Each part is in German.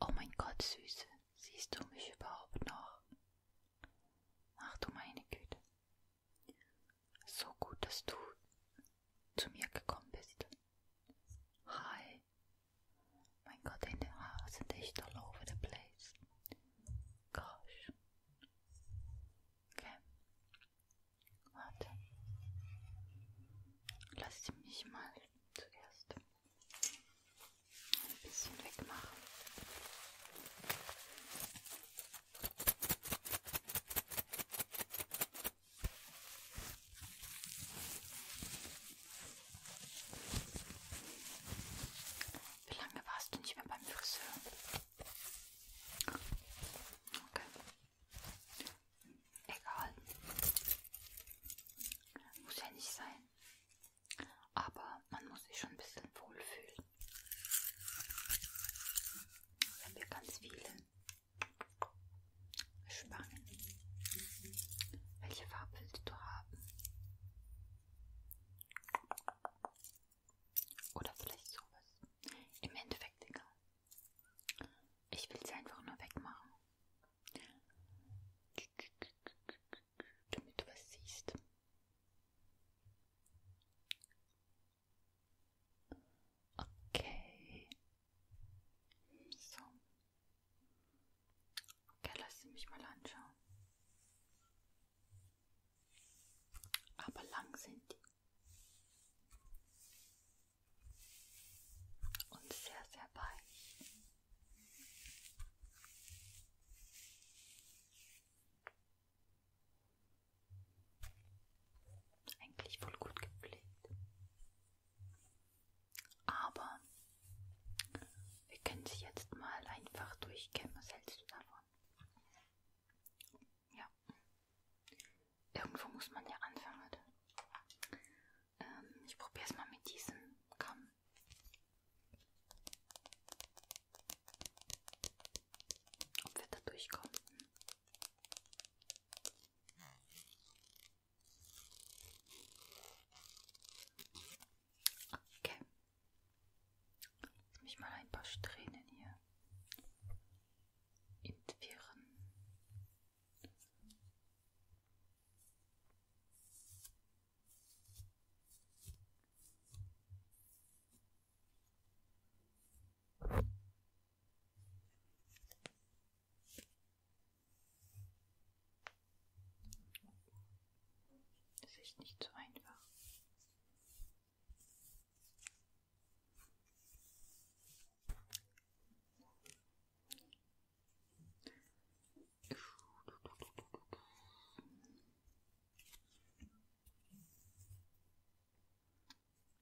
Oh mein Gott, Süße, siehst du mich überhaupt noch? Ach du meine Güte. So gut, dass du zu mir gekommen bist. Hi. Mein Gott, deine Haare sind echt all over the place. Gosh. Okay. Warte. Lass mich mal zuerst ein bisschen wegmachen. Wie lange warst du nicht mehr beim Friseur? Okay. Egal. Muss ja nicht sein. Aber man muss sich schon ein bisschen wohlfühlen. Wenn wir ganz viele Spangen. Welche Farbe willst du haben? Oder vielleicht sowas. Im Endeffekt egal. Ich will sie einfach nur wegmachen damit du was siehst. Okay. So. Okay, lass sie mich mal anschauen. Aber lang sind die und sehr, sehr weich. Eigentlich wohl gut gepflegt. Aber wir können sie jetzt mal einfach durchkämmen. Was hältst du davon? Ja. Irgendwo muss man ja anfangen, oder? Ähm, ich probiere es mal mit diesem Kamm. Ob wir da durchkommen. Okay. Lass mich mal ein paar Strähnen hier entwirren. Das ist nicht so einfach.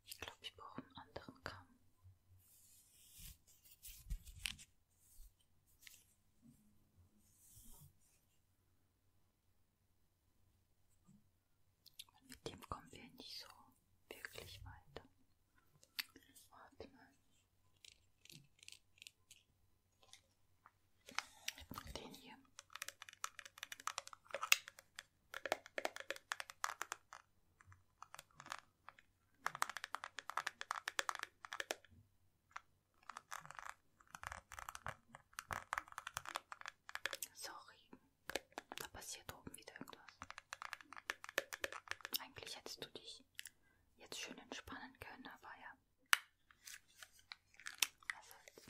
Ich glaube, ich brauche einen anderen Kamm. Und mit dem kommen wir nicht so wirklich weiter. Warte mal. Den hier. Sorry, da passiert oben wieder irgendwas. Eigentlich hättest du dich mich jetzt schön entspannen können, aber ja. Was soll's.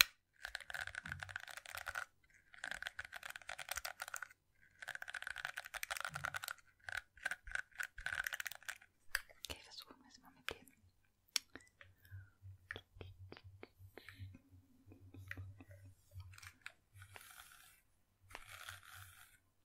Okay, versuchen wir es mal mit dem.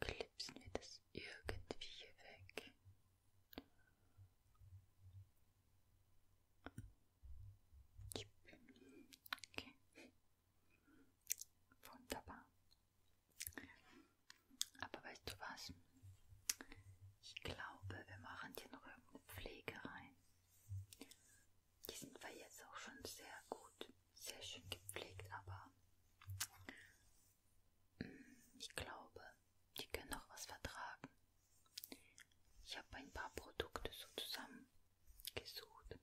klipsen wir das irgendwie hier weg. Okay. Wunderbar. Aber weißt du was? Ich glaube, wir machen hier noch irgendeine Pflege rein. Die sind wir jetzt auch schon sehr gut, sehr schön gepflegt, aber ich glaube, die können auch was vertragen. Ich habe ein paar Produkte so zusammengesucht.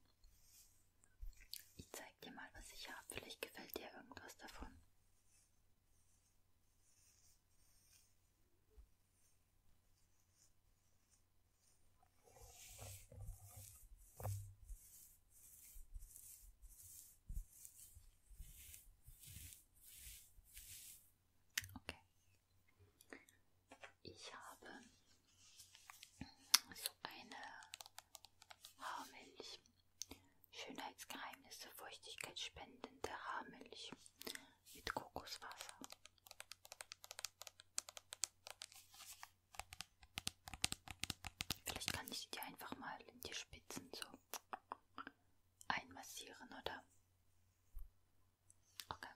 Ich zeig dir mal, was ich habe. Vielleicht gefällt dir irgendwas davon. Okay. Ich habe so eine Haarmilch. Schönheitsgeheimnisse, feuchtigkeitsspendende Haarmilch mit Kokoswasser. Vielleicht kann ich die einfach mal in die Spitzen so einmassieren, oder? Okay.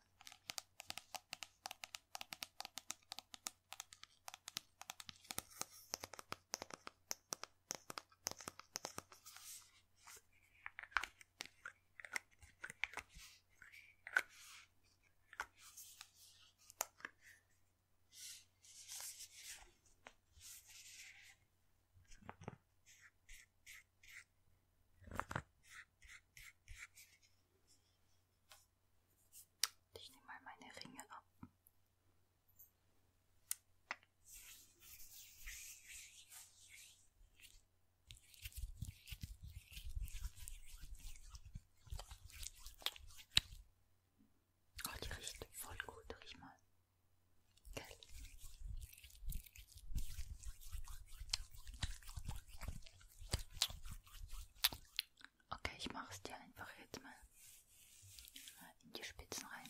Ich nehme mal meine Ringe ab. Oh, die riecht voll gut, riech mal. Gell? Okay, ich mache es dir einfach jetzt mal in die Spitzen rein.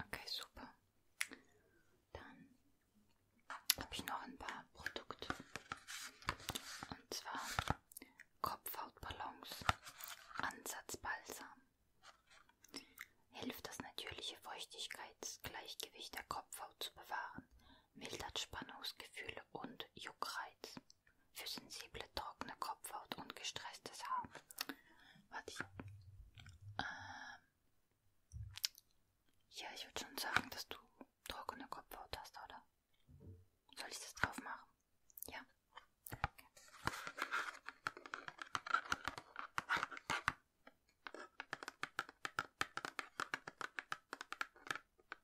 Okay, super. Dann habe ich noch ein paar Produkte. Und zwar Kopfhautballons, Ansatzbalsam. Hilft das natürliche Feuchtigkeitsgleichgewicht der Kopfhaut zu bewahren mildert Spannungsgefühle und Juckreiz. Für sensible, trockene Kopfhaut und gestresstes Haar. Warte ich. Ähm ja, ich würde schon sagen, dass du trockene Kopfhaut hast, oder? Soll ich das drauf machen? Ja. Okay.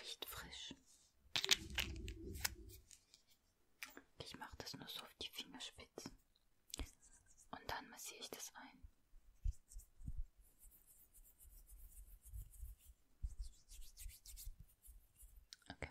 Riecht frisch. Ich mache das nur so auf die Fingerspitzen. Und dann massiere ich das ein. Okay.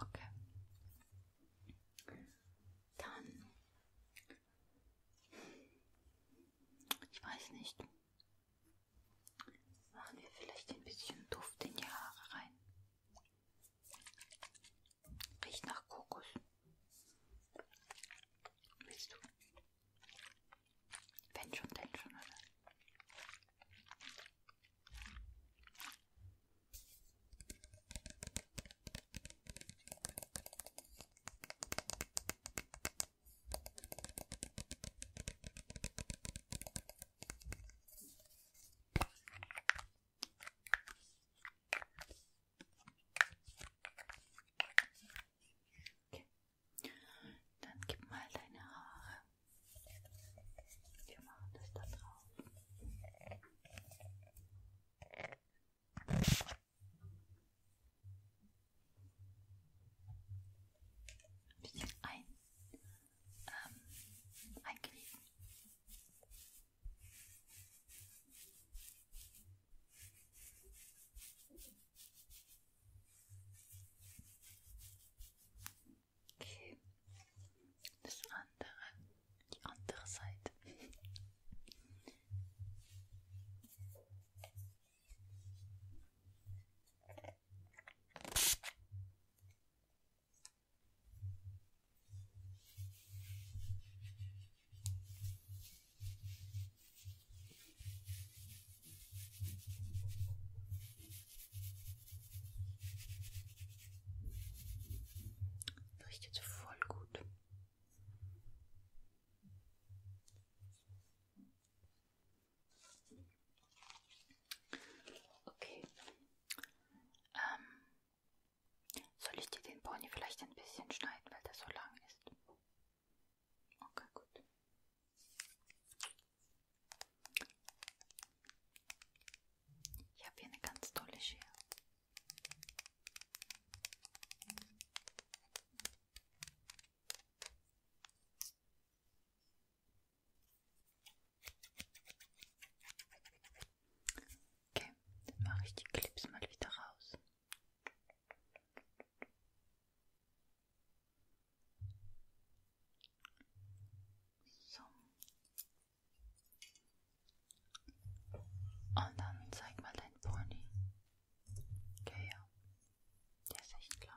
Okay. Dann. Ich weiß nicht. Machen wir vielleicht ein bisschen Duft in die Haare rein. Riecht nach Kokos. Willst du? Wenn schon, denn schon, oder? Okay. Dann gib mal deine Haare. Wir machen das da drauf. Ein bisschen ein, ähm, einknicken. Okay. Das andere, die andere Seite. Leuchtet voll gut. Okay. Ähm, soll ich dir den Pony vielleicht ein bisschen schneiden, weil der so lang ist? Okay, gut. Ich habe hier eine ganz tolle Schere. Okay, dann mache ich die Clips mal wieder raus. So. Und dann zeig mal dein Pony. Okay, ja. Der ist echt lang.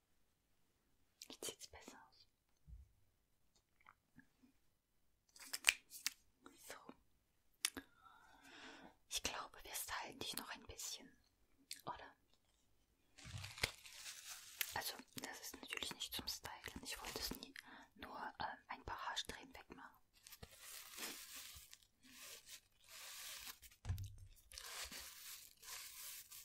Jetzt sieht es besser aus. So. Ich glaube, wir stylen dich noch ein bisschen, oder? Also, das ist natürlich nicht zum Stylen. Ich wollte es nie nur äh, ein paar Haarsträhnen wegmachen.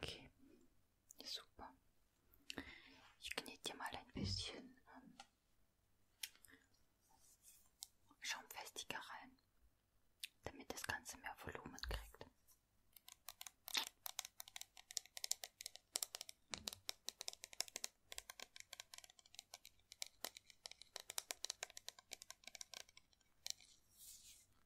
Okay, super. Ich knete mal ein bisschen ähm, schaumfestiger rein, damit das Ganze mehr Volumen kriegt.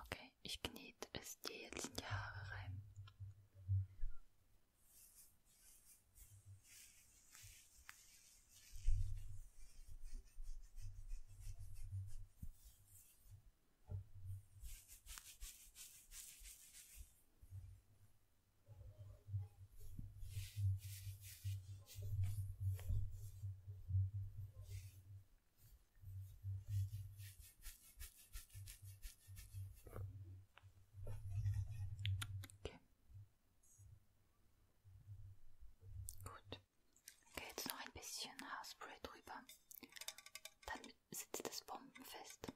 Okay, ich kniet es dir jetzt in die Haare rein. Okay. Gut. Okay, jetzt noch ein bisschen Haarspray drüber. Dann sitzt es bombenfest.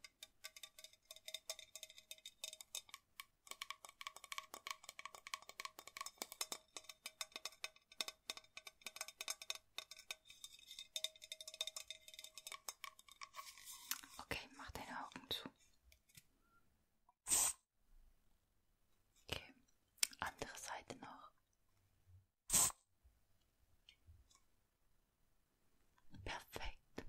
Okay, mach deine Augen zu. Okay, andere Seite noch. Perfekt.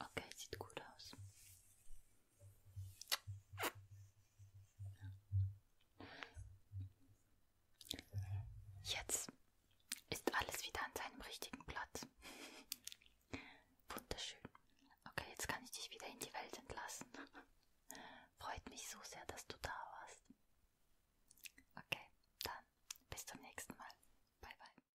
Okay, sieht gut aus. Jetzt ist alles wieder an seinem richtigen Platz. Wunderschön. Okay, jetzt kann ich dich wieder in die Welt entlassen. Freut mich so sehr, dass du da warst. Okay, dann bis zum nächsten Mal. Bye bye.